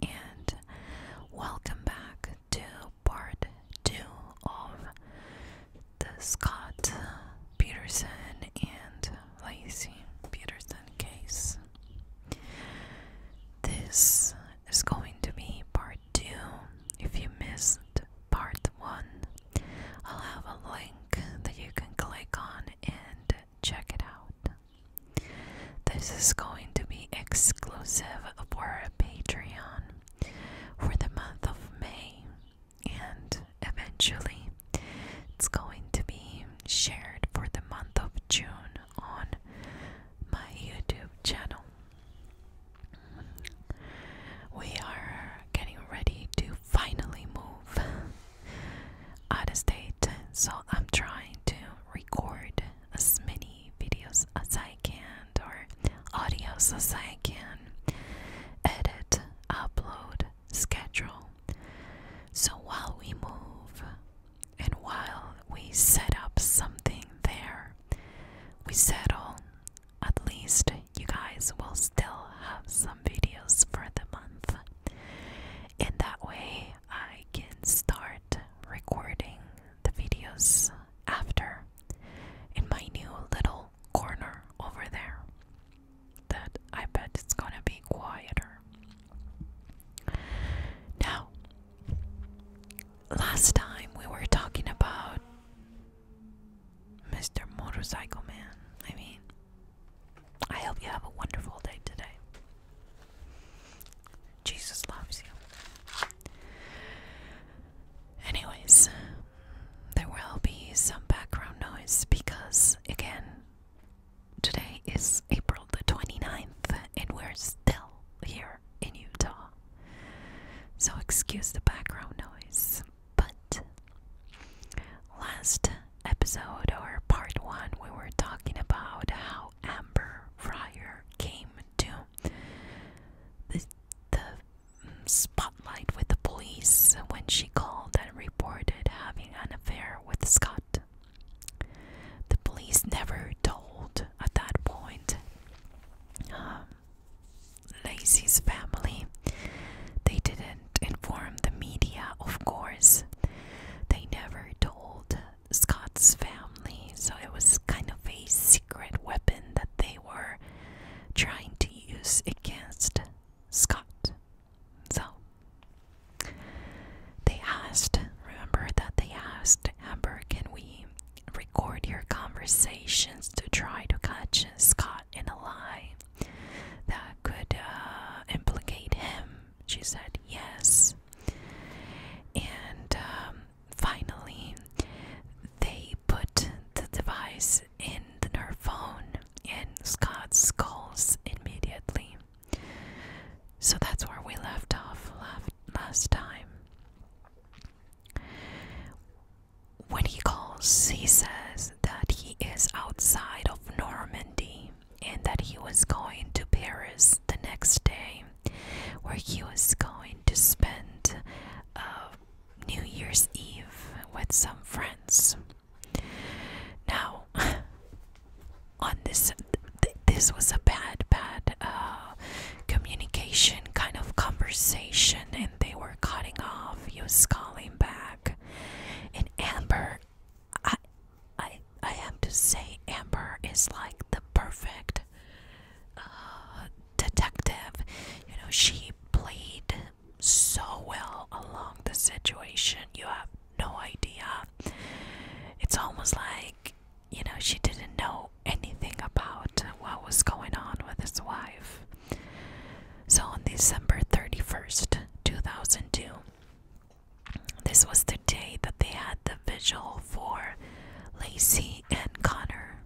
and welcome back to part 2 of the Scott Peterson and Lacey Peterson case. This is going to be part 2. If you missed part 1, I'll have a link that you can click on and check it out. This is going to be exclusive for Patreon for the month of May, and eventually it's going to be shared for the month of June on my YouTube channel. We are getting ready to finally move out of state, so I'm trying to record as many videos as I can or audios as I can edit, upload, schedule. So while we move and while we set up something there, we settle, at least you guys will still have some videos for the month. In that way, I can start recording the videos after in my new little corner over there. That I bet it's gonna be quieter. Now, last time we were talking about Mr. Motorcycle Man. I mean, I hope you have a wonderful day today. Jesus loves you. Anyways, there will be some background noise because, again, today is April the 29th and we're still here in Utah. So, excuse the background noise. But last episode or part one, we were talking about how Amber Fryer came to the, spotlight with the police when she called and reported having an affair with Scott. The police never told at that point um, Lacey's family. They didn't inform the media, of course. They never told Scott's family, so it was kind of a secret weapon that they were trying to use against Scott. So they asked, remember that they asked Amber, can we record your conversations to try to catch Scott in a lie that could uh, implicate him she said yes. And um, finally, they put the device in her phone, and Scott calls immediately. So that's where we left off last time. When he calls, he says that he is outside of Normandy and that he was going to Paris the next day where he was going to spend uh, New Year's Eve with some friends. Now, on this, this was a bad, bad uh, communication kind of conversation, and they were cutting off. He was calling back, and Amber, I I have to say Amber is like the perfect uh, detective. You know, she played so well along the situation. You have no idea. It's almost like you know she didn't know anything about what was going on with his wife. So on December 31st, 2002, this was the day that they had the vigil for Lacey and Connor.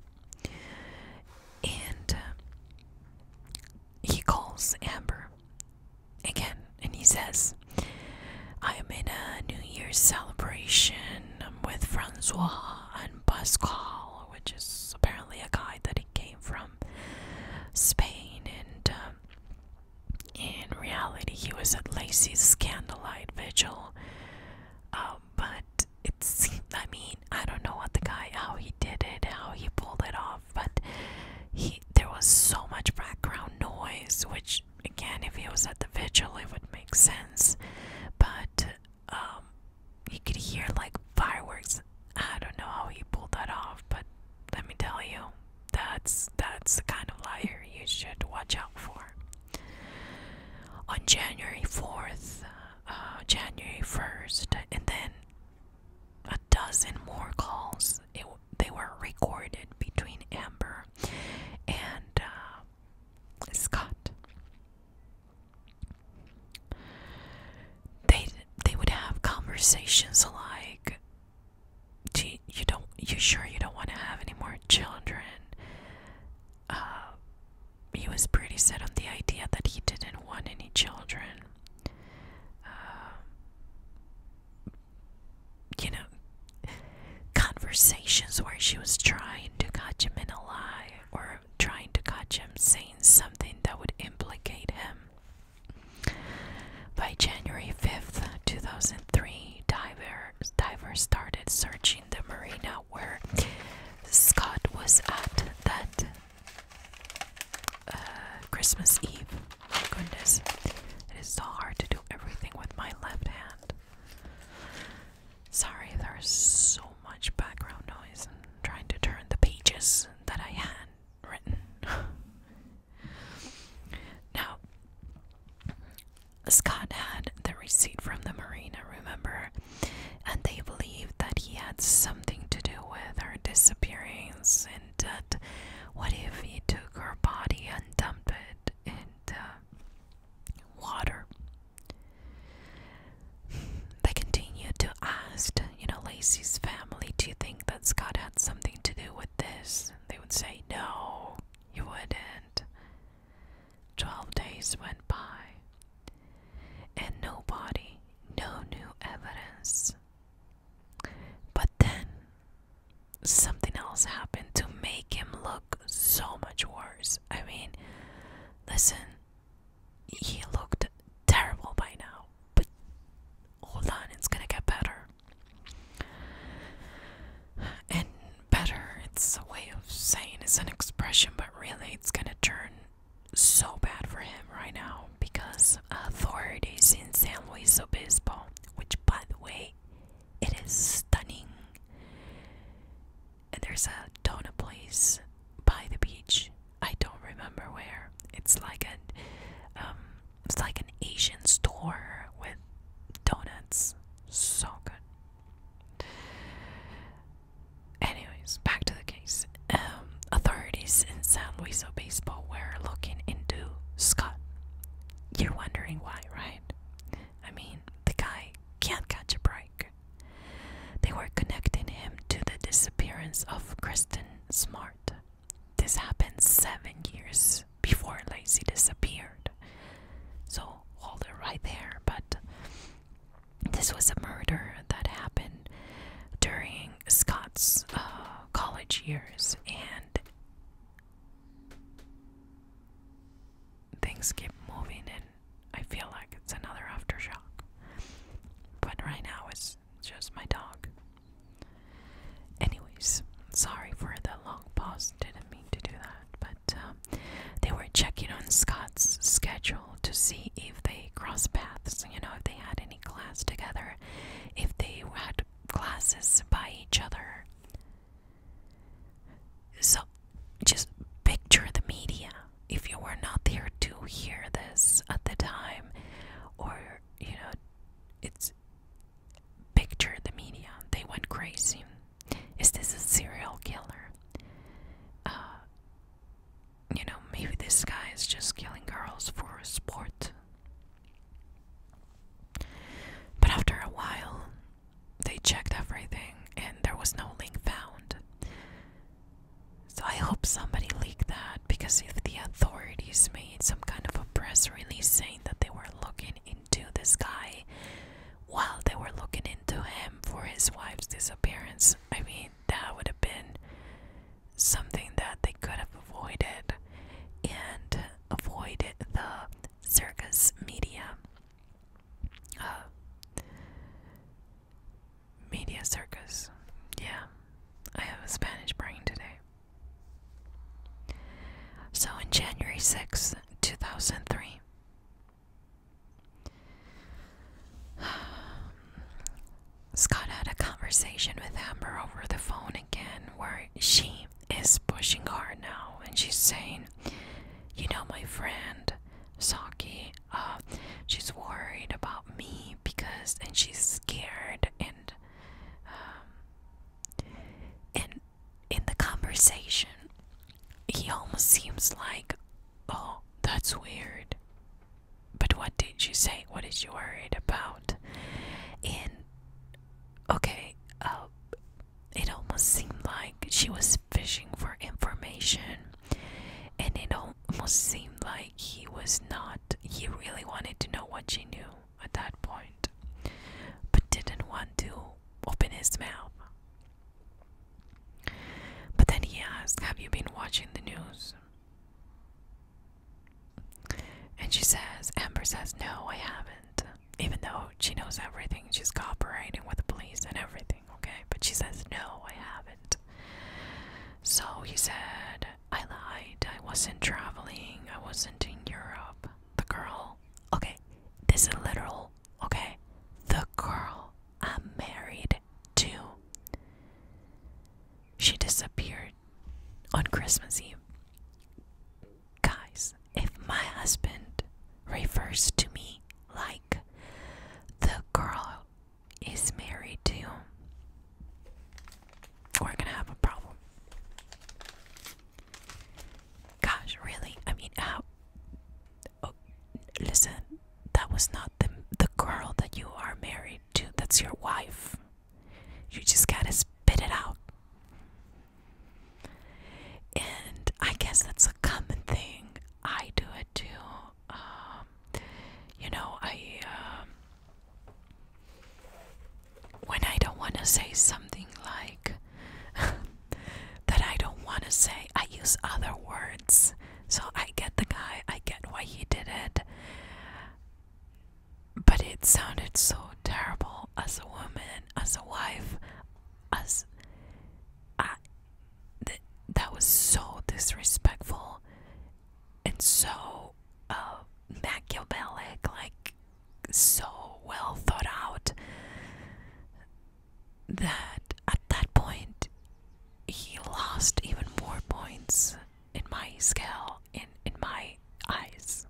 And uh, he calls Amber again and he says, I am in a New Year's celebration with Francois and Pascal, which is apparently a guy that he came from Spain. And um, in reality, he was at Lacy's candlelight vigil, um, but it seemed, I mean, I don't know what the guy, how he did it, how he pulled it off, but he there was so much background noise, which again, if he was at the vigil, it would make sense, but um, you could hear like fireworks. I don't know how he pulled that off, but let me tell you, that's that's the kind of liar you should watch out for on January 4th, uh, January 1st, and then a dozen more calls. they were recorded between Amber and uh, Scott. They they would have conversations like do you, don't you sure you don't want to have any more children uh, he was pretty set on the idea that he didn't want any children uh, you know conversations where she was trying to catch him in a lie or trying to catch him saying something that would implicate him by January 5th, 2003, Diver divers started searching the marina where Scott was at that uh, Christmas Eve. My goodness, it is so hard to do everything with my left hand. Sorry, there's so much background noise. trying to turn the pages that I had written. now, Scott had the receipt from the marina, remember? And they believed that he had something to do with her disappearance and what if he took her body and dumped it in the water? They continued to ask, you know, Lacey's family, do you think that Scott had something to do with this? They would say, no, you wouldn't. Twelve days went by, and nobody, no new evidence. But then something else happened to make him look so much worse. I mean, listen, he looked terrible by now, but hold on, it's gonna get better. And better. It's a way of saying it's an expression, but really it's gonna turn so bad for him right now because is in San Luis Obispo, which by the way, it is stunning. And there's a donut place by the beach. I don't remember where. It's like a, um, it's like an Asian store with donuts. So good. Anyways, back to the case. Um, authorities in San Luis Obispo were looking into Scott. You're wondering why, right? I mean, the guy can't catch a break. They were connecting him to the disappearance of Kristen Smart. This happened seven years before Lacey disappeared. So hold it right there. But this was a murder that happened during Scott's uh, college years, and things keep moving, and I feel like it's another aftershock. But right now, it's just my dog. Anyways, sorry for the long pause, didn't mean to do that but um, they were checking on Scott's schedule to see if they crossed paths, you know, if they had any class together, if they had classes by each other. So just picture the media if you were not there to hear this at the time, or you know, it's picture the media. They went crazy. Is this a serial killer? Uh, you know, maybe this guy is just killing girls for sport. But after a while, they checked everything and there was no link found. So I hope somebody leaked that because if the authorities made some kind of a press release saying that they were looking, into the sky while they were looking into him for his wife's disappearance. I mean, that would have been something that they could have avoided and avoided the circus media. Uh, media circus. Yeah, I have a Spanish brain today. So, in January 6, 2003, Scott had a conversation with Amber over the phone again, where she is pushing hard now, and she's saying, You know, my friend Saki, uh, she's worried about me because, and she's scared, and, um, and in the conversation, he almost seems like, oh, that's weird. But what did you say? What is you worried about? In, okay, uh, it almost seemed like she was fishing for information. And it almost seemed like he was not, he really wanted to know what she knew at that point, but didn't want to open his mouth. But then he asks, Have you been watching the news? And she says, Amber says, No, I haven't. Even though she knows everything, she's cooperating with the police and everything, okay? But she says, No, I haven't. So he said, I lied. I wasn't traveling. I wasn't in Europe. The girl, okay, this is literal okay? The girl I'm married to. She disappeared on Christmas Eve. Guys, if my husband refers to me like the girl is married to, we're gonna have a problem. Gosh, really? I mean, how? Oh, listen, that was not the the girl that you are married to. That's your wife. You just gotta spit it out. And I guess that's a common thing. I do it too. Um, you know, I um, when I don't want to say something like. that I don't want to say. I use other words. So I get the guy, I get why he did it. But it sounded so terrible as a woman, as a wife, as. I, th that was so disrespectful and so uh, machiavellic, like so well thought out that at that point he lost even more points in my scale, in, in my eyes.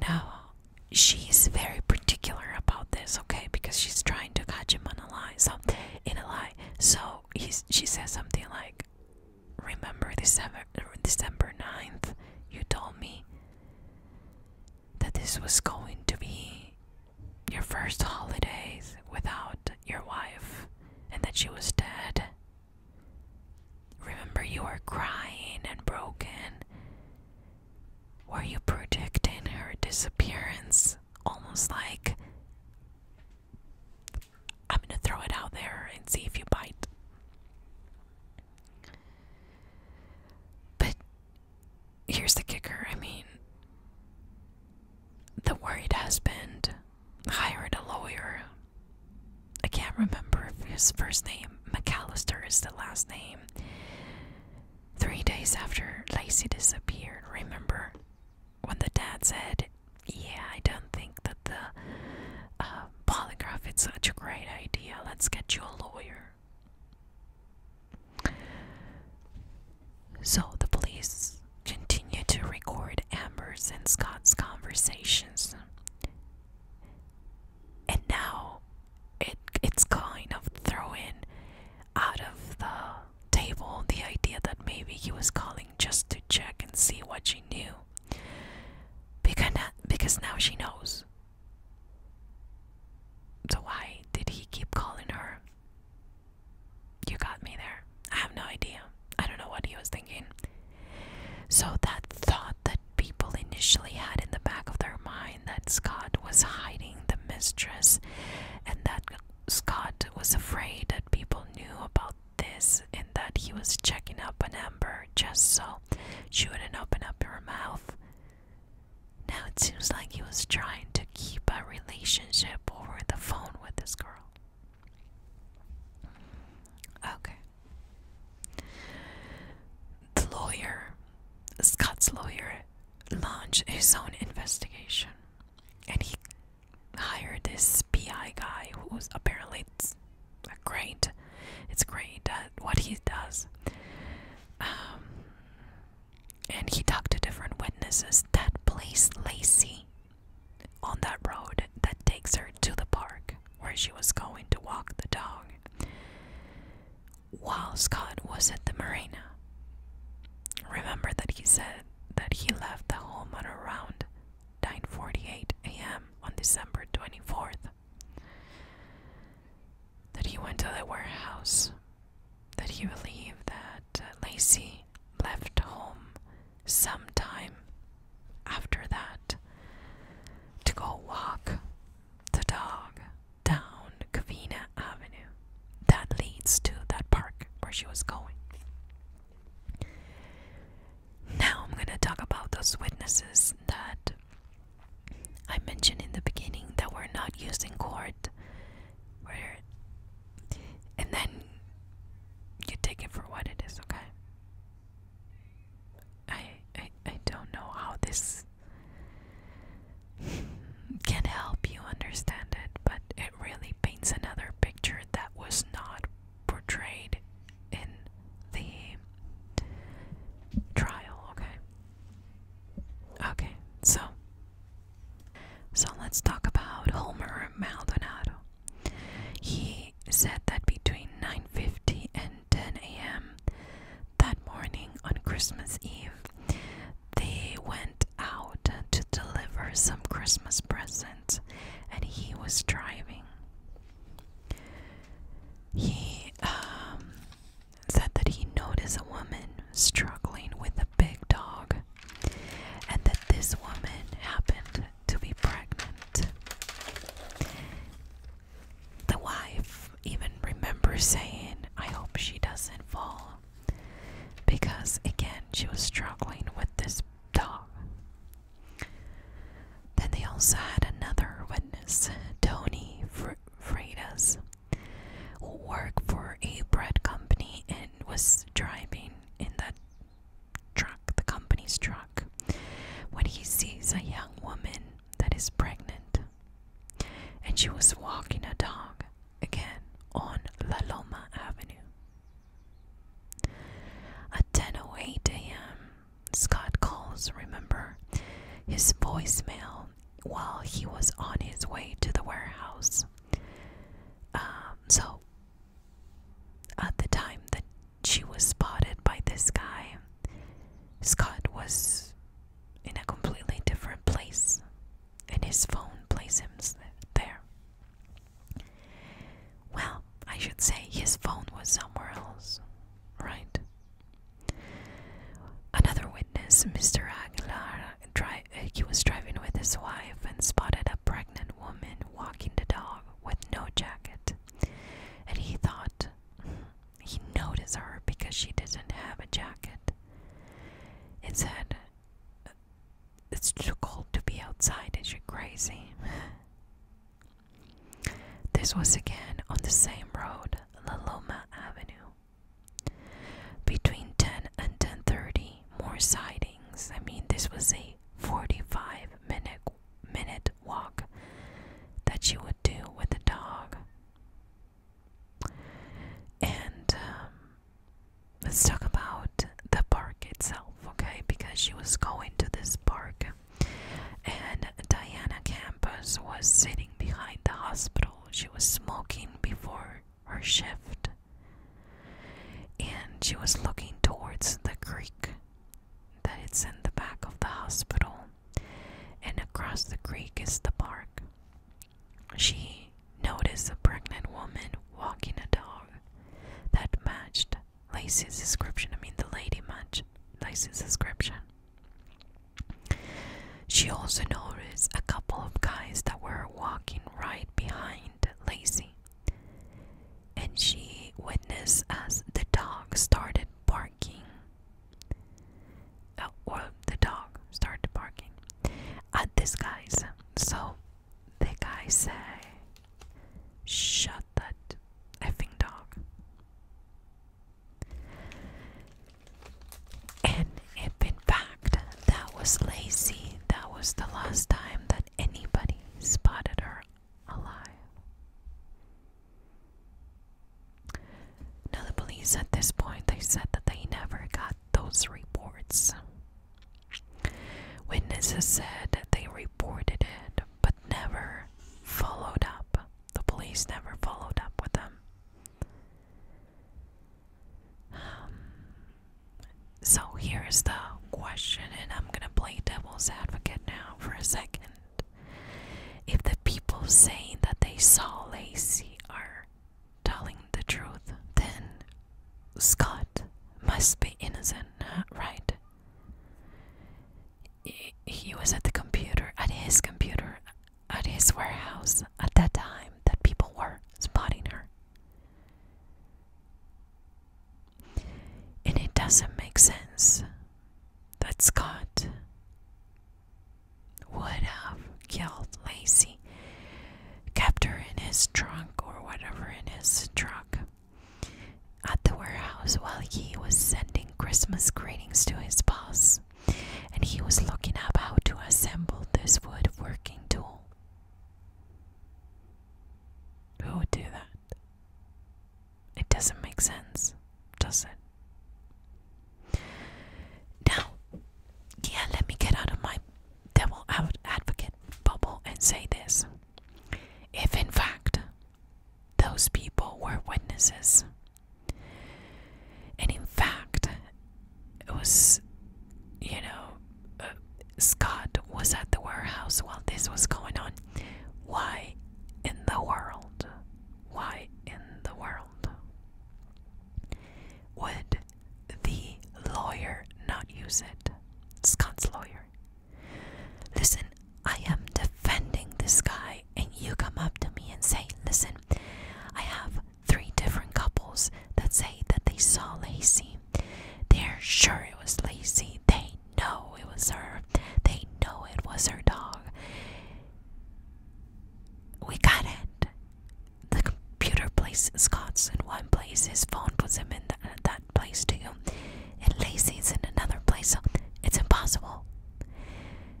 Now, she's very particular about this, okay, because she's trying to catch him on a lie, so in a lie. So he's, she says something like, Remember December, December 9th, you told me that this was going to be your first holidays without your wife and that she was dead. Remember, you were crying and broken. Were you predicting her disappearance? Almost like I'm gonna throw it out there and see if you bite. But here's the kicker I mean, the worried husband hired a lawyer. I can't remember if his first name, McAllister, is the last name. Three days after Lacy disappeared, remember when the dad said, Yeah, I don't think that the uh, polygraph is such a great idea. Let's get you a lawyer. So the police continue to record Amber's and Scott's conversations. And now it it's kind of throwing out of the table the idea that maybe he was calling just to check and see what she knew. Because, because now she knows. So, why did he keep calling her? You got me there. I have no idea. I don't know what he was thinking. So, that thought that people initially had in the back of their mind that Scott was hiding the mistress and that Scott was afraid that people knew about this and that he was checking up on Amber just so she wouldn't open up her mouth now it seems like he was trying to keep a relationship over the phone with this girl. Okay. The lawyer, Scott's lawyer, launched his own investigation and he hired this PI guy who's apparently it's great. It's great at what he does. Um, and he talked to different witnesses. That place, Lacey, on that road that takes her to the park where she was going to walk the dog while Scott was at the marina. Remember that he said that he left the home at around 9:48 a.m. on December 24th that he went to the warehouse, that he believed that uh, Lacey left home sometime after that to go walk the dog down Covina Avenue that leads to that park where she was going. Now I'm going to talk about those witnesses that I mentioned in the beginning that we're not using in court. Where and then you take it for what it is, okay? I I I don't know how this can help you understand it, but it really paints another picture that was not portrayed in the trial, okay? Okay, so so let's talk about Homer Maldonado. He said that between 9:50 and 10 a.m. that morning on Christmas Eve, they went out to deliver some Christmas presents, and he was driving. He um, said that he noticed a woman struggling with a big dog and that this woman happened to be pregnant. The wife even remembers saying, I hope she doesn't fall. Because again, she was struggling with this dog. Then they also had another witness, Tony Freitas, who worked for a bread company and was driving in that truck, the company's truck, when he sees a young woman that is pregnant. And she was walking a dog again on La Loma Avenue. At 10:08 a.m., Scott calls, remember, his voicemail while he was on his way to the warehouse. Um, so, at the time that she was spotted by this guy, Scott was in a completely different place, and his phone placed him there. Well, I should say his phone was somewhere else, right? Another witness, Mr. Aguilar, he was driving with his wife and spotted a pregnant woman walking the dog with no jacket. And he thought he noticed her because she didn't have a jacket. It said, It's too cold to be outside, is you crazy? This was again on the same road. La Loma Avenue. Between 10 and 10:30, more sidings. I mean, this was a 45 minute minute walk that she would do with a dog. And um, let's talk about the park itself, okay? Because she was going to this park, and Diana Campus was sitting behind the hospital. She was smoking before her shift. And she was looking towards the creek that is in the back of the hospital. And across the creek is the park. She noticed a pregnant woman walking a dog that matched Lacey's description. I mean, the lady matched Lacey's description. She also noticed a couple of guys that were walking right behind Lazy, and she witnessed as the dog started barking. Oh, the dog started barking at these guys. So the guys say, Shut that effing dog. And if in fact that was lazy, that was the last time that anybody spotted her alive. Now, the police at this point they said that they never got those reports. Witnesses said that they reported it but never followed up. The police never followed up with them. Um, so here's the question, and I'm gonna play devil's advocate now for a second. If the people saying that they saw Lacey are telling the truth, then Scott must be innocent, right? He was at the computer, at his computer, at his warehouse at that time that people were spotting her. And it doesn't make sense that Scott would have killed Lacy, kept her in his trunk or whatever in his truck at the warehouse while he was sending Christmas greetings to his boss and he was looking up how to assemble this woodworking tool. Who would do that? It doesn't make sense, does it? Now, yeah, let me get out of my devil advocate bubble and say this. If in fact those people were witnesses and in fact, it was, you know, uh, Scott was at the warehouse while this was going on. Why in the world? Why in the world would the lawyer not use it? Scott's lawyer. Listen, I am defending this guy and you come up to me and say, Listen, I have three different couples that say that they saw Lacey. They're sure it was Lacey. They know it was her. They know it was her dog. We got it. The computer places Scott's in one place, his phone puts him in th that place too, and Lacey's in another place. So it's impossible.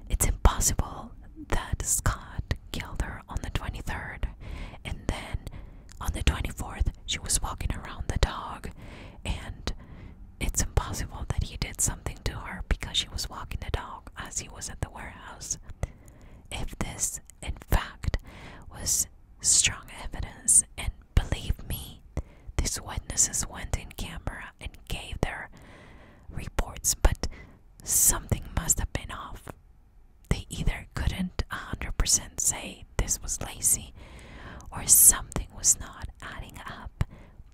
It's impossible that Scott killed her on the 23rd, and then on the 24th, she was walking around the dog, and it's impossible that he did something to her because she was walking the dog as he was at the warehouse. If this, in fact, was strong evidence, and believe me, these witnesses went in camera and gave their reports, but something must have been off. They either couldn't a 100% say this was lazy or something was not adding up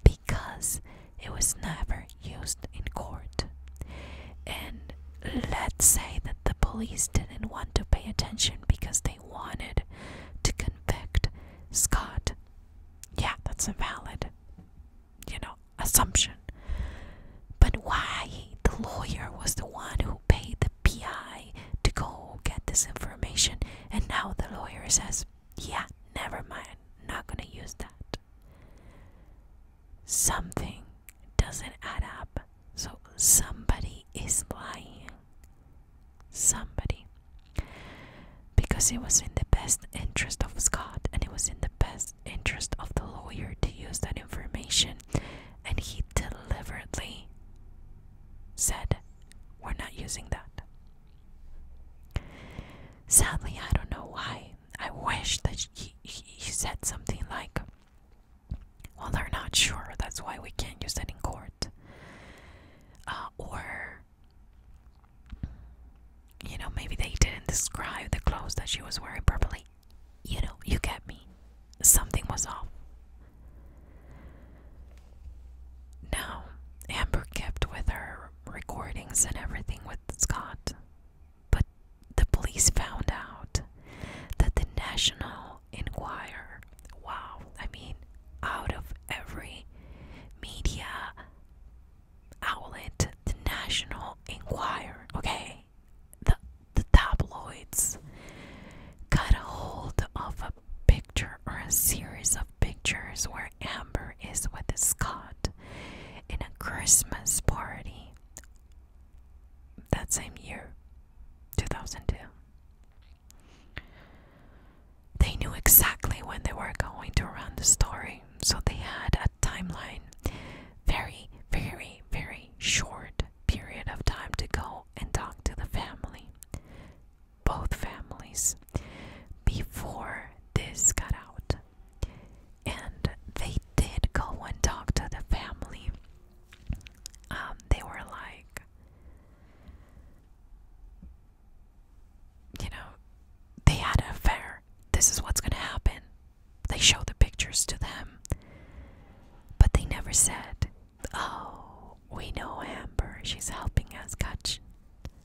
because it was never used in court. And let's say that the police didn't want to pay attention because they wanted to convict Scott. Yeah, that's invalid you know, assumption. But why the lawyer was the one who paid the PI to go get this information, and now the lawyer says, yeah, never mind, not gonna use that. Something doesn't add up, so somebody is lying. Somebody because it was in the best interest of Scott and it was in the best interest of the lawyer to use that information, and he deliberately said, We're not using that. Sadly, I don't know why. I wish that he, he, said something like, Well, they're not sure, that's why we can't use that in court. Uh, or you know, maybe they didn't describe the clothes that she was wearing properly. You know, you get me. Something was off. Now, Amber kept with her recordings and everything with Scott, but the police found out that the National Enquirer, wow, I mean, out of every media outlet, the National Enquirer, okay? The, the tabloids got a hold of a picture or a series of pictures where Amber is with Scott in a Christmas party that same year, 2002. They knew exactly when they were going to run the story so they had a timeline, very, very, very short period of time to go and talk to the family, both families, before this got out. And they did go and talk to the family. Um, they were like, you know, they had an affair. This is what's going to happen. They show the pictures to them. But they never said, oh, we know Amber. She's helping us catch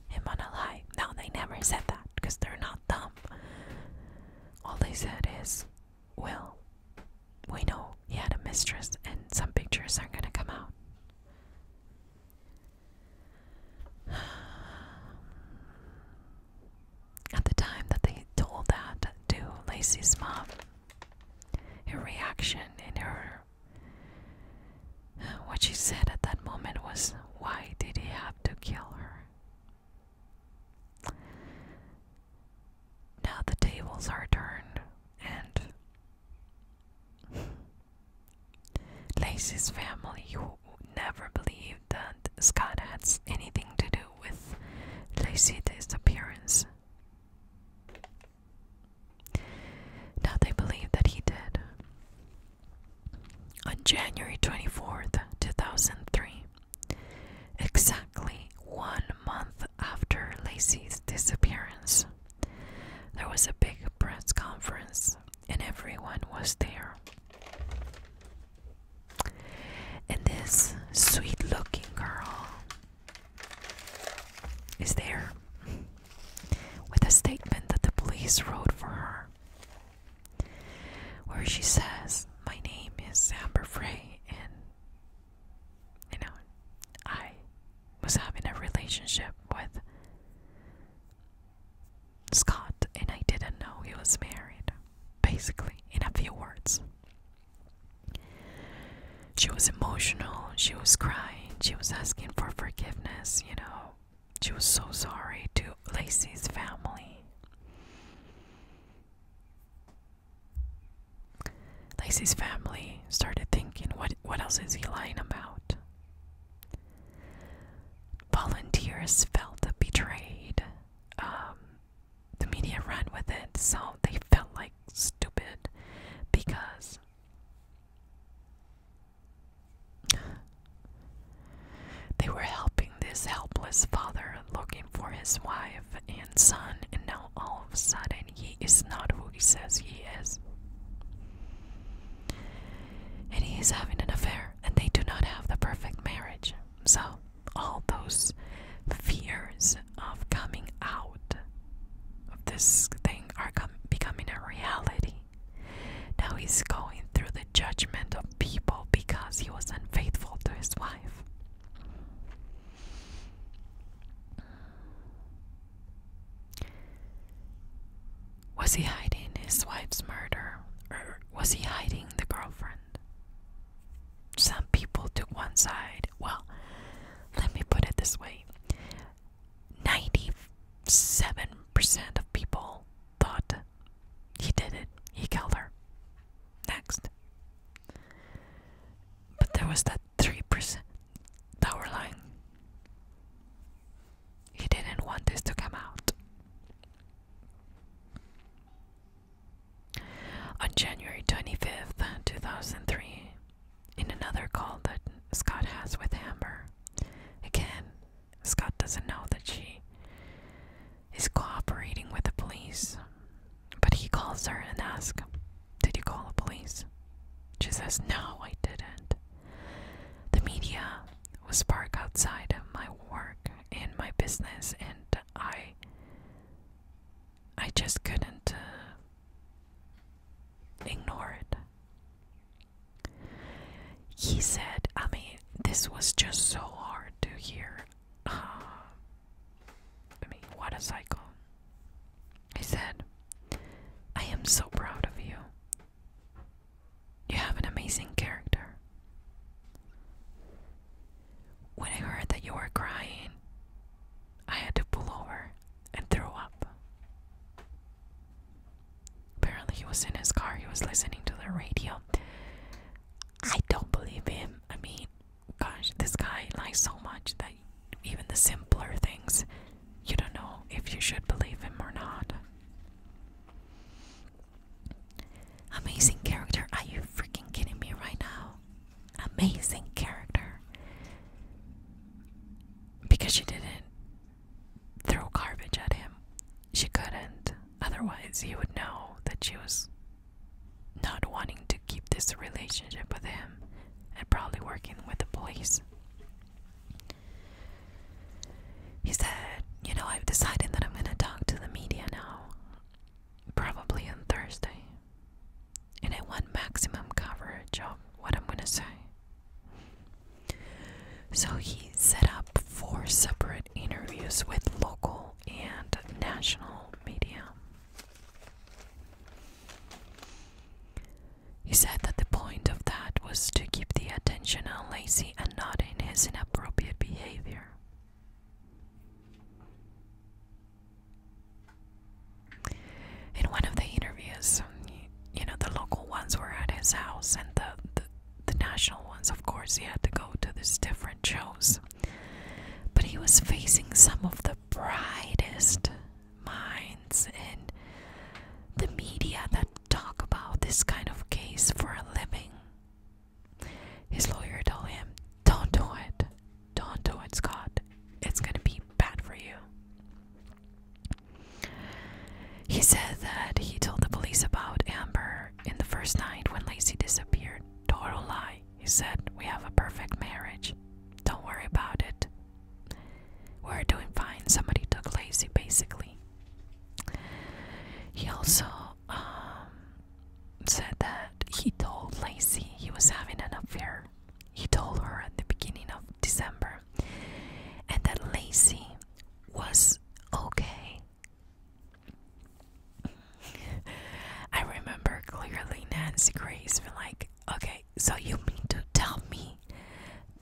him on a lie. No, they never said that because they're not dumb. All they said is, well, we know he had a mistress and some pictures are going to come out. At the time that they told that to Lacey's mom, her reaction in her what she said at that moment was, Why did he have to kill her? Now the tables are turned, and Lacey's family, who never believed that Scott had anything to do with Lacey's disappearance, now they believe that he did. On January 24th, 2003, exactly one month after Lacey's disappearance, there was a big press conference and everyone was there. And this sweet looking girl is there with a statement that the police wrote for her, where she says, My name is Amber Frey, and you know, I was having a relationship with Scott, and I didn't know he was married, basically, in a few words. She was emotional, she was crying, she was asking for forgiveness, you know. She was so sorry to Lacey's family. Lacey's family started thinking, what, what else is he lying about? Volunteers felt betrayed. Um, the media ran with it, so they felt like stupid because they were helping this helpless father looking for his wife and son, and now all of a sudden he is not who he says he is and he is having an affair, and they do not have the perfect marriage. So, all those fears of coming out of this thing are becoming a reality. Now he's going through the judgment of people because he was unfaithful to his wife. Was he hiding his wife's murder, or was he hiding the girlfriend? Some people took one side. Well, let me put it this way 97% of people thought he did it, he killed her. Next. But there was that 3% that were lying. He didn't want this to come out. On January 25th, 2003, in another call that Scott has with Amber, again, Scott doesn't know that she is cooperating with the police, but he calls her and asks, Did you call the police? She says, No, I didn't. The media was parked outside of my work in my business and I I just couldn't uh, ignore it. He said, I mean, this was just so hard to hear. Uh, I mean, what a cycle. He said, I am so proud of you. You have an amazing character. When I heard that you were crying, I had to pull over and throw up. Apparently, he was in his car, he was listening to the radio. I don't believe him. I mean, gosh, this guy lies so much that even the simpler things, you don't know if you should believe him or not. Amazing character. Are you freaking kidding me right now? Amazing character. Because she didn't throw garbage at him. She couldn't. Otherwise, he would know that she was not wanting to keep this relationship with him and probably working with the police. He said, You know, I've decided that I'm going to talk to the media now, probably on Thursday, and I want maximum coverage of what I'm going to say. So he set up four separate interviews with local and national media. He said that the point of that was to keep the attention lazy and not in his inappropriate behavior. In one of the interviews, you know, the local ones were at his house, and the, the, national ones, of course, he had to go to these different shows. But he was facing some of the brightest minds in the media that talk about this kind of case for a living. His lawyer told him, Don't do it. Don't do it, Scott. It's going to be bad for you. He said that he told the police about Amber in the first night when Lacey disappeared. Total lie. He said, We have a perfect marriage. Don't worry about it. We're doing fine. Somebody took Lacey, basically. He also um, said that he told Lacey he was having an affair. He told her at the beginning of December, and that Lacey was okay. I remember clearly Nancy Grace was like, Okay, so you mean to tell me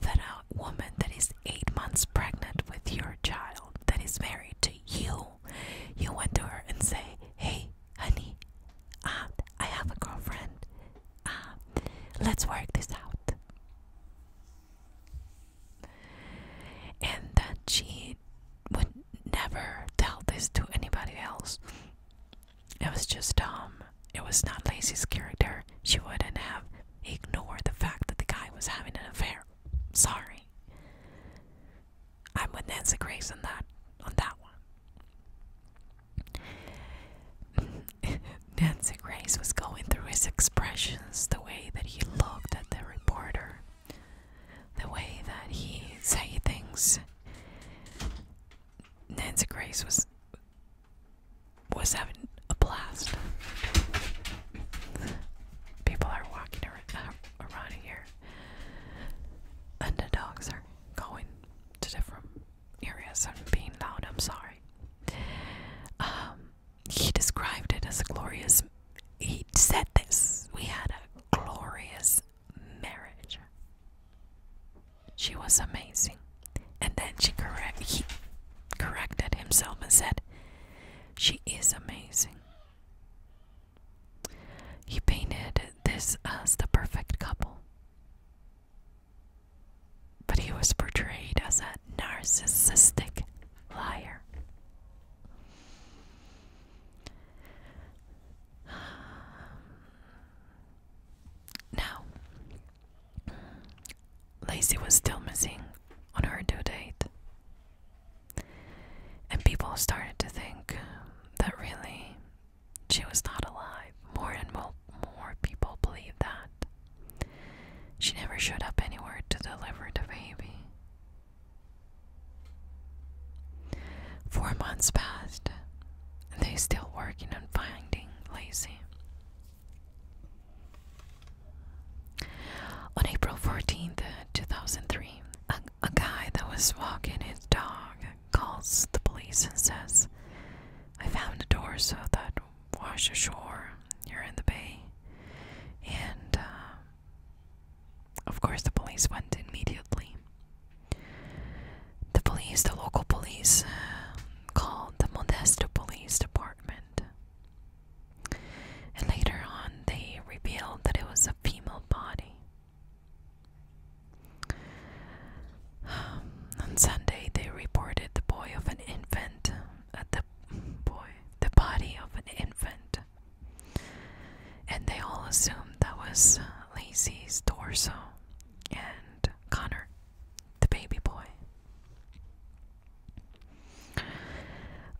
that a woman that is eight months pregnant with your child that is married to you, you went to her and say, Hey, honey, uh, I have a girlfriend. Uh, let's work this out. And that she would never tell this to anybody else. It was just, um, it was not Lacy's character. She wouldn't have ignored the fact that the guy was having an affair. Sorry. I'm with Nancy Grace on that on that one. Nancy Grace was going through his expressions, the way that he looked at the reporter, the way that he said things. Nancy Grace was was having a blast people are walking uh, around, here, and the dogs are going to different areas. I'm being loud. I'm sorry. Um, he described it as glorious. He said this. We had a glorious marriage. She was amazing, and then she correct he corrected himself and said, she is amazing. He painted this as the perfect couple. But he was portrayed as a narcissistic liar. Now, Lacey was still missing on her due date. And people started to think that really she was not alive. More and more, people believed that. She never showed up anywhere to deliver the baby. Four months passed, and they still working on finding Lacey. On April Fourteenth, two 2003, a, guy that was walking his dog calls the police and says, I found a torso that washed ashore here in the bay. And, uh, of course, the police went immediately. The police, the local police, uh, called the Modesto Police Department. And later on, they revealed that it was a female body. on Sunday, they reported the boy of an infant, uh, body of an infant, and they all assumed that was uh, Lacey's torso and Connor, the baby boy.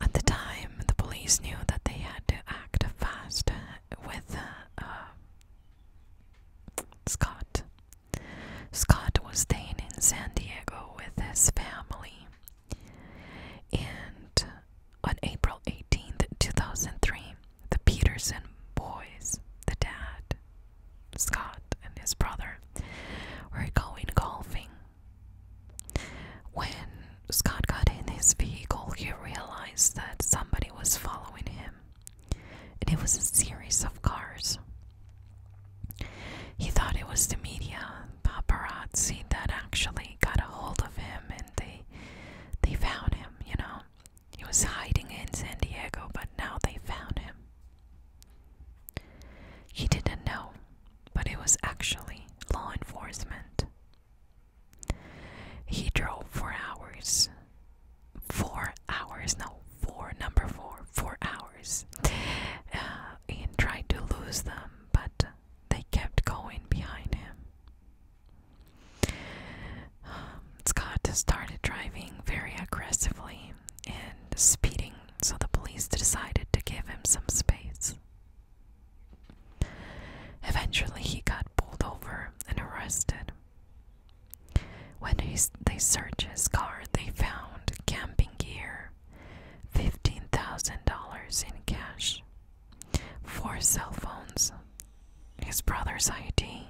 At the time, the police knew that they had to act fast with uh, Scott. Scott was staying in San Diego with his family. And on April 18th, 2003, the Peterson boys, the dad, Scott, and his brother, were going golfing when Scott got in his vehicle, he realized that somebody was following him, and it was a series of cars. He thought it was the media, paparazzi, that actually got a hold of him, and they they found him. You know, he was hiding in San Diego, but now they found him. He didn't know but it was actually law enforcement. He drove for hours. Four hours, no, four, number four, four hours. Uh, and tried to lose them, but they kept going behind him. Um, Scott started driving very aggressively and speeding, so the police decided to give him some space. Eventually, he got pulled over and arrested. When they searched his car, they found camping gear, $15,000 in cash, four cell phones, his brother's ID,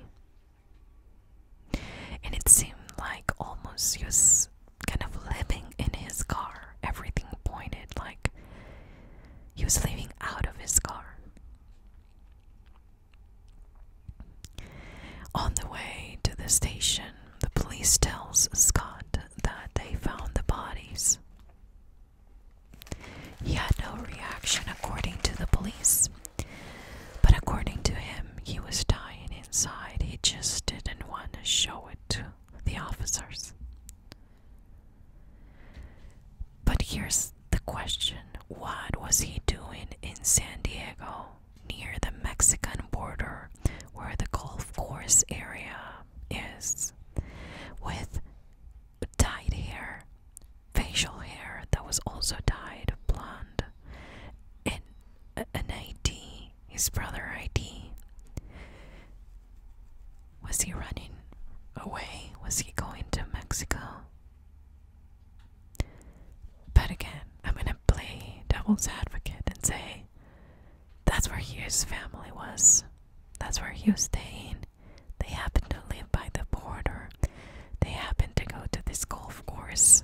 and it seemed like almost use, kind of living in his car. Everything pointed like he was leaving out of his car. On the way to the station, the police tells Scott that they found the bodies. He had no reaction according to the police, but according to him, he was dying inside. He just didn't want to show it the officers. But here's the question what was he doing in San Diego, near the Mexican border where the golf course area is, with dyed hair, facial hair that was also dyed blonde, in an ID his brother ID. Was he running away? Was he going to Mexico? But again, I'm gonna play devil's advocate and say that's where Hugh's family was. That's where he was staying. They happened to live by the border. They happened to go to this golf course,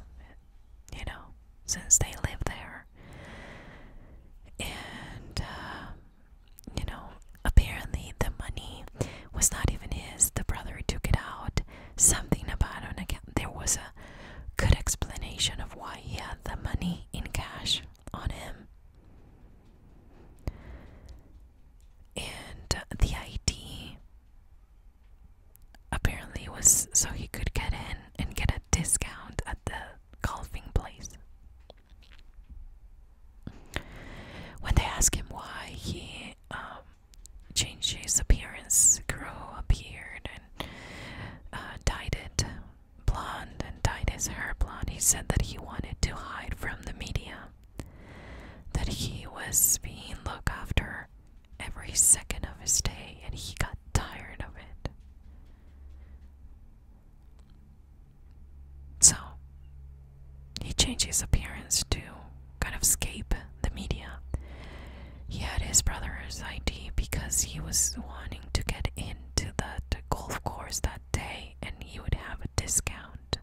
you know, since they live there. And, uh, you know, apparently the money was not even his. The brother took it out. Something about an There was a good explanation of why he had the money in cash on him. And uh, the ID apparently was so he could get in and get a discount at the golfing place. When they asked him why he um, changed his appearance, grew a beard and uh, dyed it blonde and dyed his hair blonde, he said that he wanted to hide from the media, that he was being looked after every second of his day, and he got tired of it. So he changed his appearance to kind of escape the media. He had his brother's ID because he was wanting to get into that golf course that day and he would have a discount.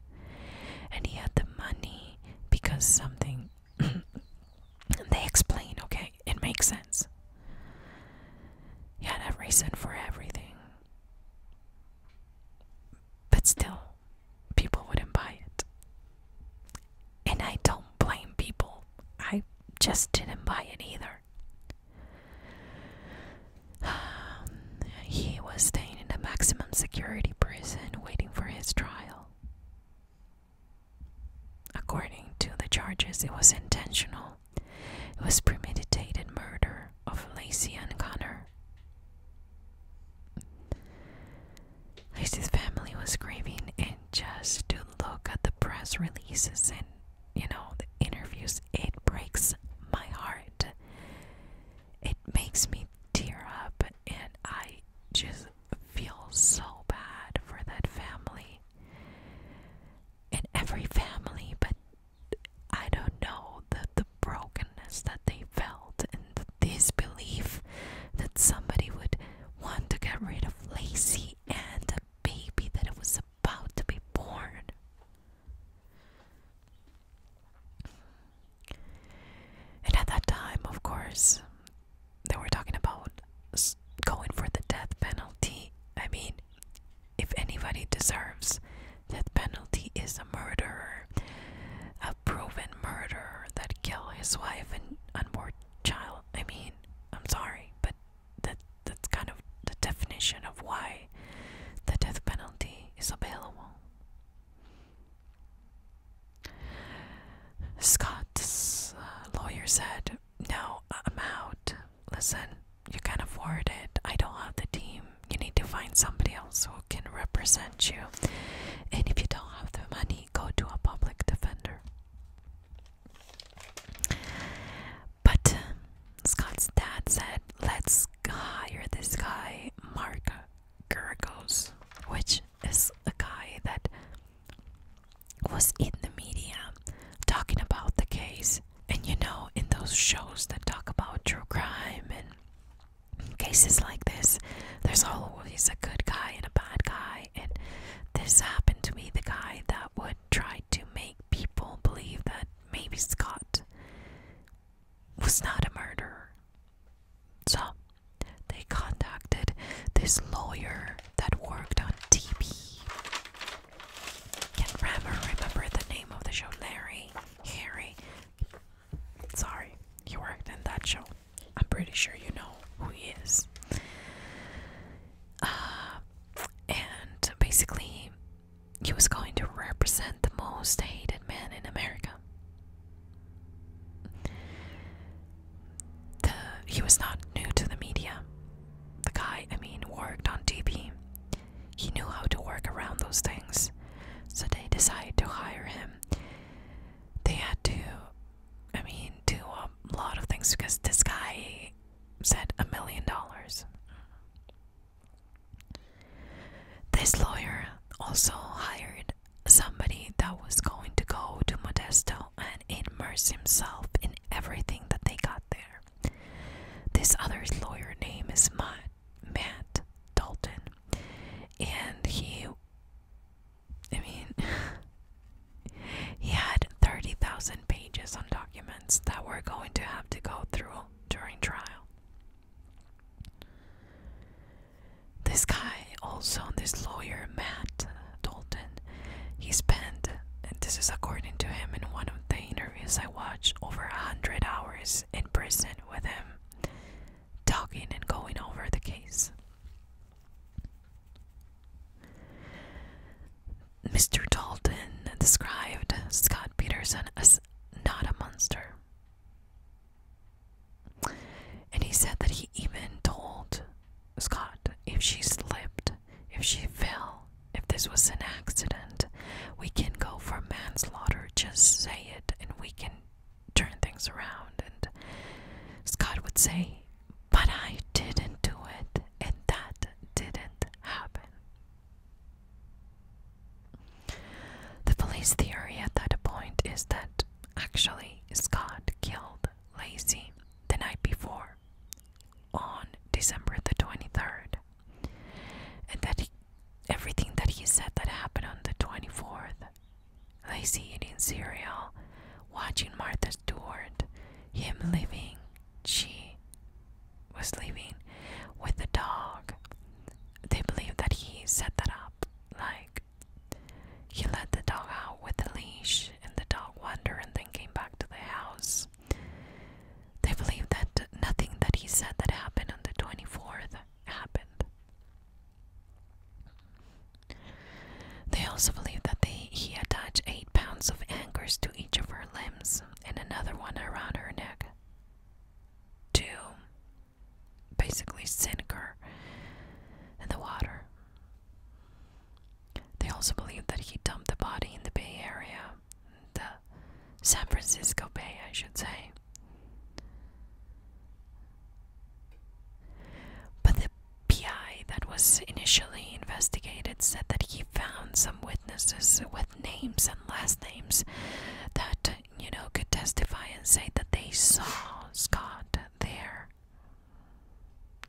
And he had the money because something they explain, okay? it makes sense. He had a reason for everything. But still, people wouldn't buy it. And I don't blame people. I just didn't buy it either. he was staying in a maximum security prison waiting for his trial. According to the charges, it was intentional. It was premeditated murder of Lacey and Connor. Lacey's family was grieving, and just to look at the press releases and you know the interviews, it breaks my heart. It makes me tear up, and I just feel so bad for that family in every family, but I don't know the, the brokenness that they felt and this belief that somebody would want to get rid of Lacey and a baby that was about to be born. And at that time, of course, they were talking about going for the death penalty. I mean, if anybody deserves that penalty is a murderer, a proven murderer that killed his wife and unborn child. I mean, I'm sorry, but that that's kind of the definition of why the death penalty is available. Scott's uh, lawyer said no, uh, I'm out. Listen, you can't afford it. I don't have the team. You need to find somebody else who can represent you. And if you don't have the money, go to a public defender. But uh, Scott's dad said, let's hire this guy, Mark Gergos, which is a guy that was in the media talking about the case and you know, in those shows that talk about true crime and cases like this, there's always a good guy and a bad guy. And this happened to be the guy that would try to make people believe that maybe Scott was not a murderer. So they contacted this lawyer that worked on TV can Rammer remember the name of the show? Larry? Harry? Sorry, he worked in that show. I'm pretty sure you know who he is. Uh, and basically, he was going to represent the most hated man in America. The, he was not new to the media the guy, I mean, worked on TV. He knew how to work around those things. So they decided to hire him. They had to, I mean, do a lot of things because this guy said a million dollars. This lawyer also hired somebody that was going to go to Modesto and immerse himself in everything that they got there. This other lawyer name is Matt, Matt Dalton, and he, I mean, he had 30,000 pages on documents that we're going to have to go through during trial. This guy, also this lawyer, Matt Dalton, he spent, and this is according to him in one of the interviews I watched over a hundred hours in prison with him, talking and going over the case. Mr. Dalton described Scott Peterson as not a monster. And he said that he even told Scott if she slipped if she fell, if this was an accident, we can go for manslaughter. Just say it, and we can turn things around. And Scott would say, But I didn't do it, and that didn't happen. The police theory at that point is that actually Scott killed Lacy the night before on December the 23rd and that he, everything that he said that happened on the 24th. they see it in cereal, watching Martha Stewart, him leaving, she was leaving with the dog. They believe that he set that up, like he led the dog out with the leash and the dog wandered and then came back to the house they believe that nothing that he said that happened on the 24th happened. They also believe that he attached eight pounds of anchors to each of her limbs and another one around her neck to basically sink her in the water. They also believe that he dumped the body in the Bay Area the San Francisco Bay, I should say. But the PI that was initially investigated said that he found some witnesses with names and last names that, you know, could testify and say that they saw Scott there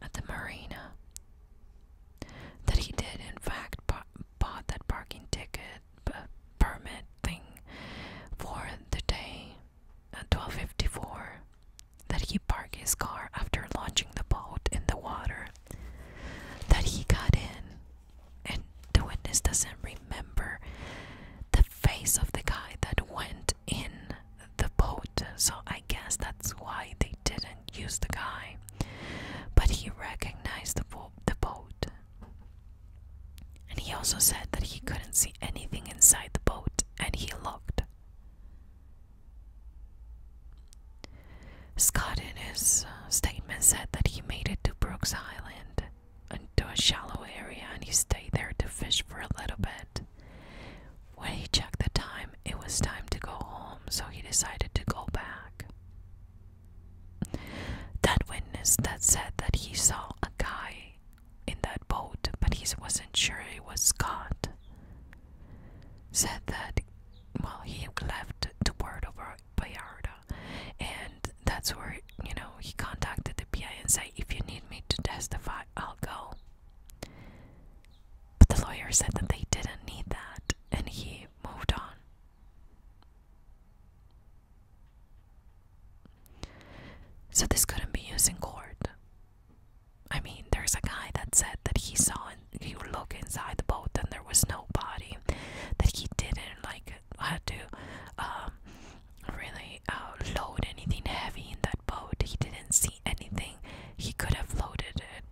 at the marina. That he did, in fact, bought that parking ticket permit thing for the day at uh, 12.54 that he parked his car after launching the boat in the water that he got in and the witness doesn't remember the face of the guy that went in the boat so i guess that's why they didn't use the guy but he recognized the, boat. And he also said that he couldn't see anything inside the boat, and he looked. Scott, in his uh, statement, said that he made it to Brooks Island, into a shallow area, and he stayed there to fish for a little bit. When he checked the time, it was time to go home, so he decided to go back. That witness that said that he saw a guy in that boat, but he wasn't sure it was Scott, said that, well, he left the word over Bayarda, and that's where, you know, he contacted the PI and said, if you need me to testify, I'll go. But the lawyer said that they didn't need that, and he moved on. So this couldn't be used in court. I mean, there's a guy that said that he saw and he look inside the boat and there was no body, that he didn't like had to um, really uh, load anything heavy in that boat. He didn't see anything. He could have loaded it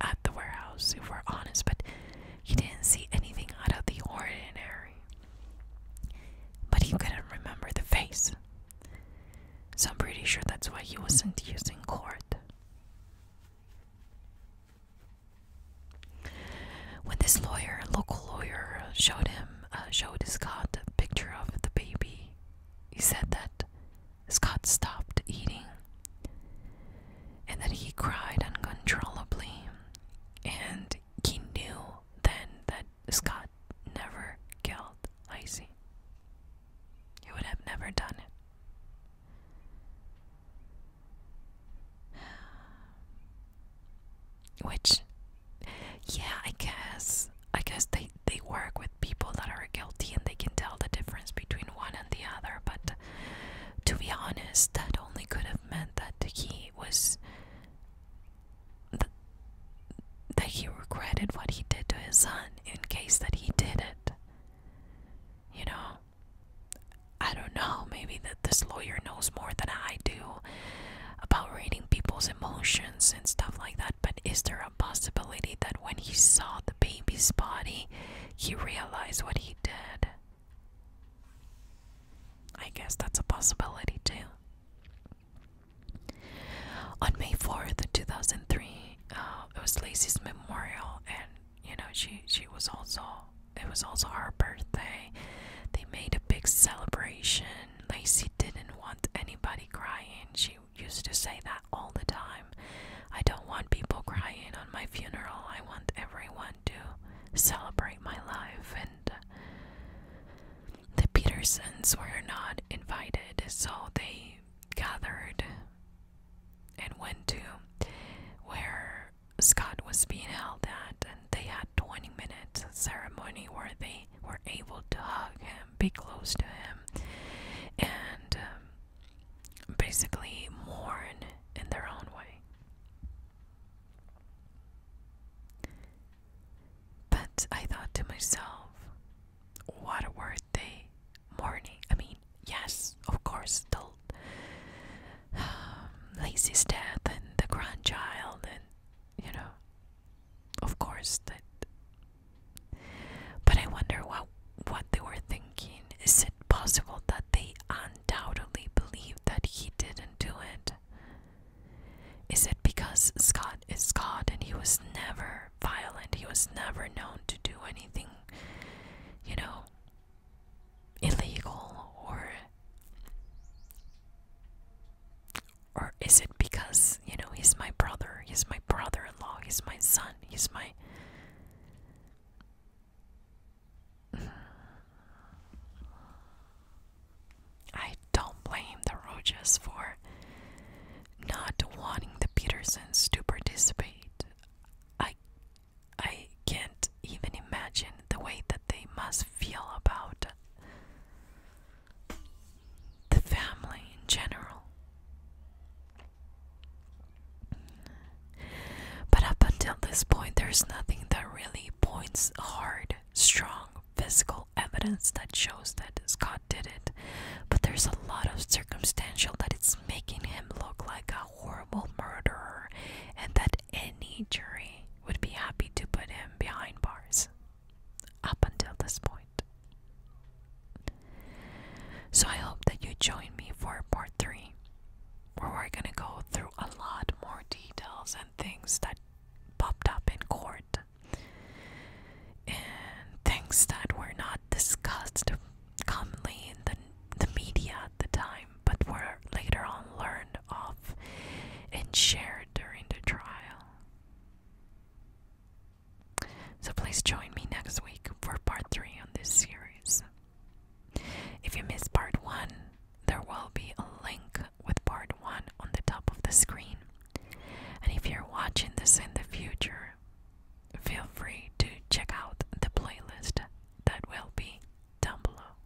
at the warehouse, if we're honest, but he didn't see anything out of the ordinary. But he couldn't remember the face. So I'm pretty sure that's why he wasn't using court. When this lawyer, local lawyer, showed him, uh, showed his God a picture of the baby, he said that Scott stopped eating. And then he cried uncontrollably. And he knew then that Scott never killed Icy. He would have never done it. Which, yeah, I guess. I guess they, they work with people that are guilty and they can tell the difference between one and the other, but to be honest, that only could have meant that he was. that he regretted what he did to his son in case that he did it. You know? I don't know, maybe that this lawyer knows more than I do about reading people's emotions and stuff like that, but is there a possibility that when he saw the baby's body, he realized what he did. I guess that's a possibility too. On May 4th, 2003, uh, it was Lacey's memorial, and you know, she, she was also, it was also her birthday. They made a big celebration. Lacey didn't want anybody crying. She used to say that all the time. I don't want people crying on my funeral. I want everyone to celebrate my life. And uh, the Petersons were not invited, so they gathered and went to where Scott was being held at, and they had 20 minutes ceremony where they were able to hug him, be close to him, and um, basically mourn in their own way. But I thought to myself, what were they mourning? I mean, yes, of course, the um, Lacey's death and the grandchild, and you know, of course, that. But I wonder what what they were thinking. Is it possible that they undoubtedly believed that he didn't do it? Is it because Scott is Scott and he was never violent? He was never known to do anything, you know, illegal or. Or is it because, you know, he's my brother, he's my brother in law, he's my son, he's my. I don't blame the Rojas for not wanting the Petersons to participate. I I can't even imagine the way that they must feel about the family in general. But up until this point, there's nothing that really points hard, strong physical evidence that shows that Scott did it. But there's a lot of circumstantial that it's making him look like a horrible murderer, and that any jury would be happy to put him behind bars. Up until this point. So I hope that you join me for part three, where we're gonna go through a lot more details and things that popped up in court and things that were not discussed commonly in the, the media at the time but were later on learned of and shared during the trial. So please join me next week for part 3 on this series. If you missed part 1, there will be a link with part 1 on the top of the screen. And if you're watching this in the future, feel free to check out the playlist that will be down below.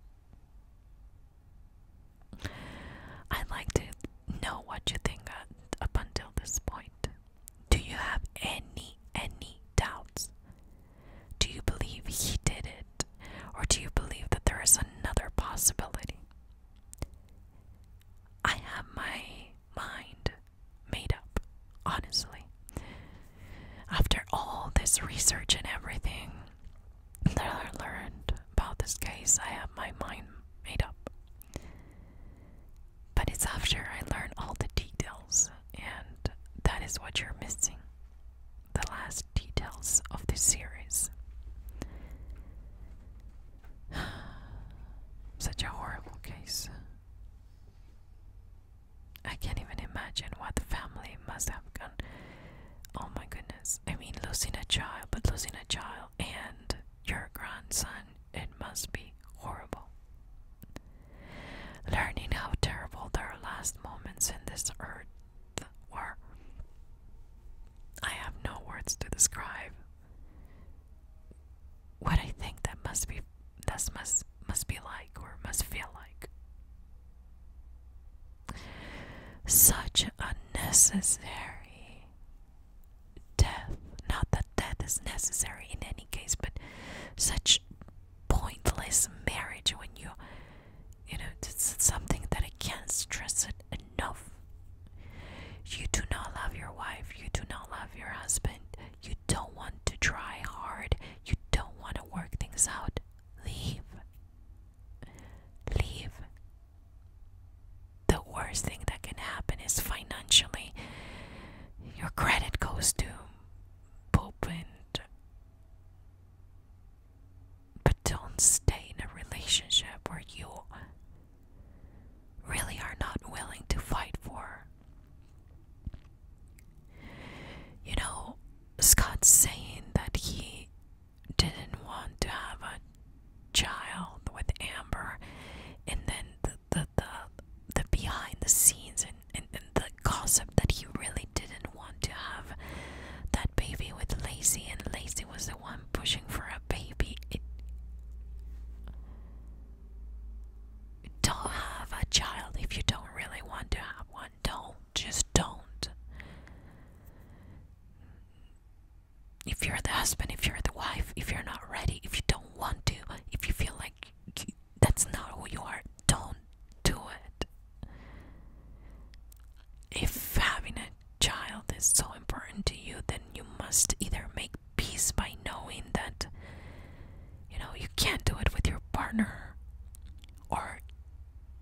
I'd like to know what you think up until this point. Do you have any, any doubts? Do you believe he did it? Or do you believe that there is another possibility? I have my mind made up, honestly. After all this research and everything that I learned about this case, I have my mind made up. But it's after I learn all the details, and that is what you're missing the last details of the series. Such a horrible case. I can't even imagine what the family must have gone. Oh my goodness. I mean, losing a child, but losing a child and your grandson, it must be horrible learning how terrible their last moments in this earth were. I have no words to describe what I think that must be that must must be like or must feel like. Such unnecessary death. Not that death is necessary in any case, but such pointless marriage when you you know it's something that I can't stress it enough. You do not love your wife, you do not love your husband, you don't want to try hard, you don't want to work things out. Leave. Leave. The worst thing that can happen is financially your credit goes to but don't stay in a relationship where you really are not willing to fight for. You know, Scott's saying that he didn't want to have a child with Amber, and then the the the behind the scenes and, and, the gossip that he really didn't want to have that baby with Lacey and Lacey was the one pushing for a baby. don't have a child if you don't really want to have one. Don't just don't. If you're the husband, if you're the wife, if you're not ready, if you don't want to, if you feel like that's not who you are. Don't do it. If having a child is so important to you, then you must either make peace by knowing that you know you can't do it with your partner, or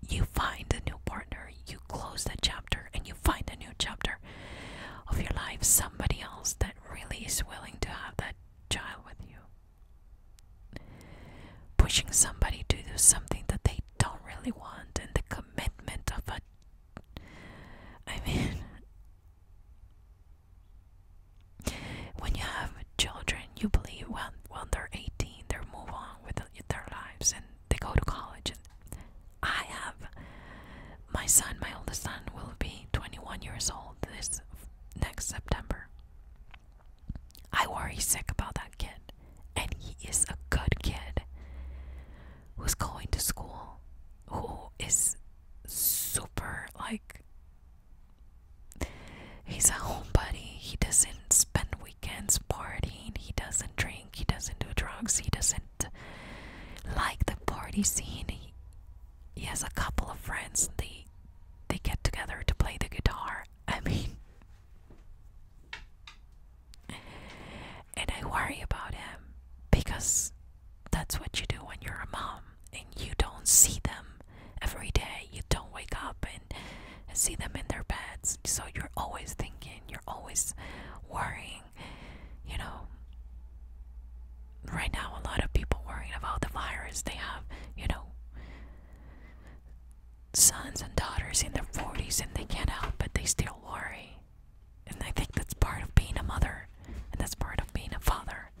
you find a new partner, you close that chapter, and you find a new chapter of your life, somebody else that really is willing to have that child with you. Pushing somebody to do something that they don't really want, and the commitment of a. I mean, when you have children, you believe when, when they're 18, they move on with their lives and they go to college. And I have my son, my oldest son, will be 21 years old this next September. I worry sick about that kid, and he is a good kid who's going to school, who is super like he's a homebody. He doesn't spend weekends partying, he doesn't drink, he doesn't do drugs, he doesn't like the party scene. He, he has a couple of friends, they they get together to play the guitar. I mean, and I worry about him because that's what you do when you're a mom and you don't see them every day. You don't wake up and see them in their beds. So you're always thinking, you're always worrying, you know right now a lot of people worrying about the virus. They have, you know, sons and daughters in their 40s and they can't help but they still worry. And I think that's part of being a mother and that's part of being a father.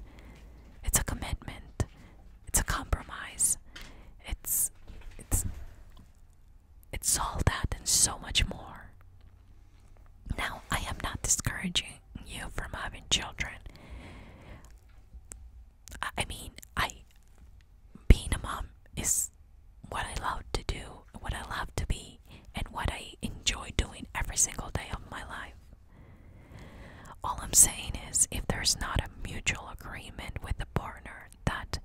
It's a commitment. It's a compromise. It's it's it's all that and so much more. Now, I am not discouraging you from having children. I mean, I being a mom is what I love to do, what I love to be, and what I enjoy doing every single day of my life. All I'm saying is, if there's not a mutual agreement with the partner that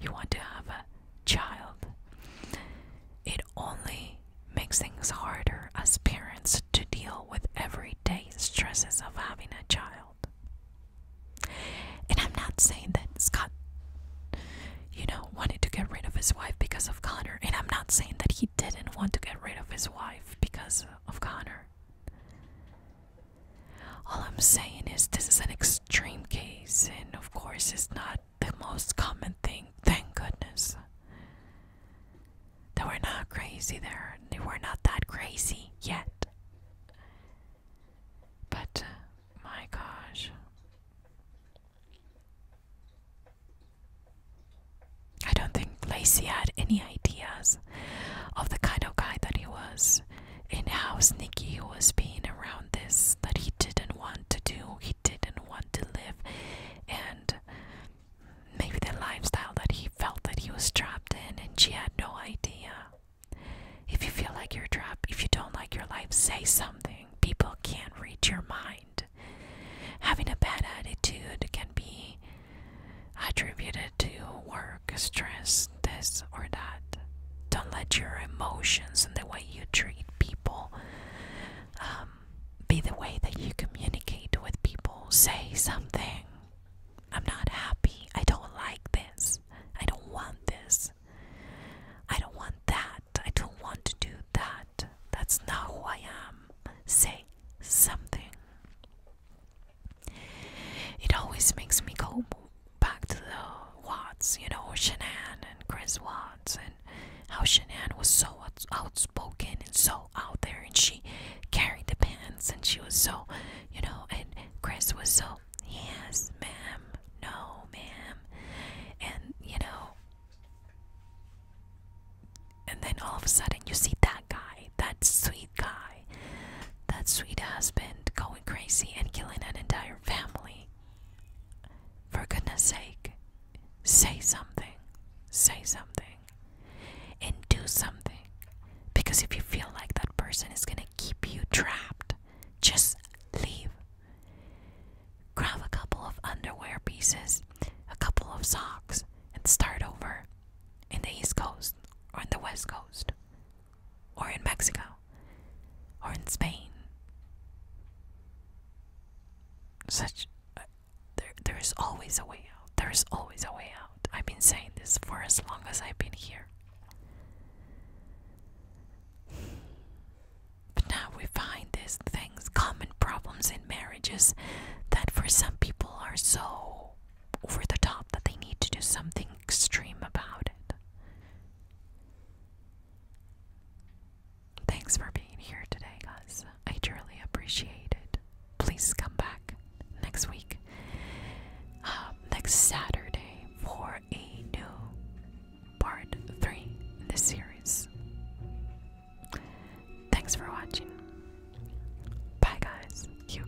you want to have a child, it only makes things harder as parents to deal with every everyday stresses of having a child. And I'm not saying that Scott, you know, wanted to get rid of his wife because of Connor. And I'm not saying that he didn't want to get rid of his wife because of Connor. All I'm saying is this is an extreme case, and of course, it's not the most common thing, thank goodness. They were not crazy there. We're not that crazy yet. But uh, my gosh. I don't think Lacey had any ideas of the kind of guy that he was and how sneaky he was being around this, that he didn't want to do, he didn't want to live. And maybe the lifestyle that he felt that he was trapped in and she had no idea. If you feel like you're trapped, if you don't like your life, say something. People can't read your mind. Having a bad attitude can be attributed to work, stress, this or that. Don't let your emotions and the way you treat people um, be the way that you communicate with people. Say something. I'm not happy. I don't like this. I don't want this. I don't want that. I don't want to do that. That's not who I am. Say something. It always makes me go back to the Watts, you know, Shanann and Chris Watts, and how Shanann was so outspoken and so out there and she carried the pants and she was so you know and Chris was so yes ma'am no ma'am and you know and then all of a sudden you see that guy that sweet guy that sweet husband going crazy and killing an entire family for goodness sake say something say something and do something. Because if you feel like that person is going to keep you trapped, just leave. Grab a couple of underwear pieces, a couple of socks, and start over in the East Coast, or in the West Coast, or in Mexico, or in Spain. Such there there is always a way out. There is always a way out. I've been saying this for as long as I've been here. But now we find these things, common problems in marriages that for some people are so over the top that they need to do something extreme about it. Thanks for being here today, guys. I truly appreciate it. Please come back next week, uh, next Saturday, for a new part three in this series. Thanks for watching. Bye, guys. You.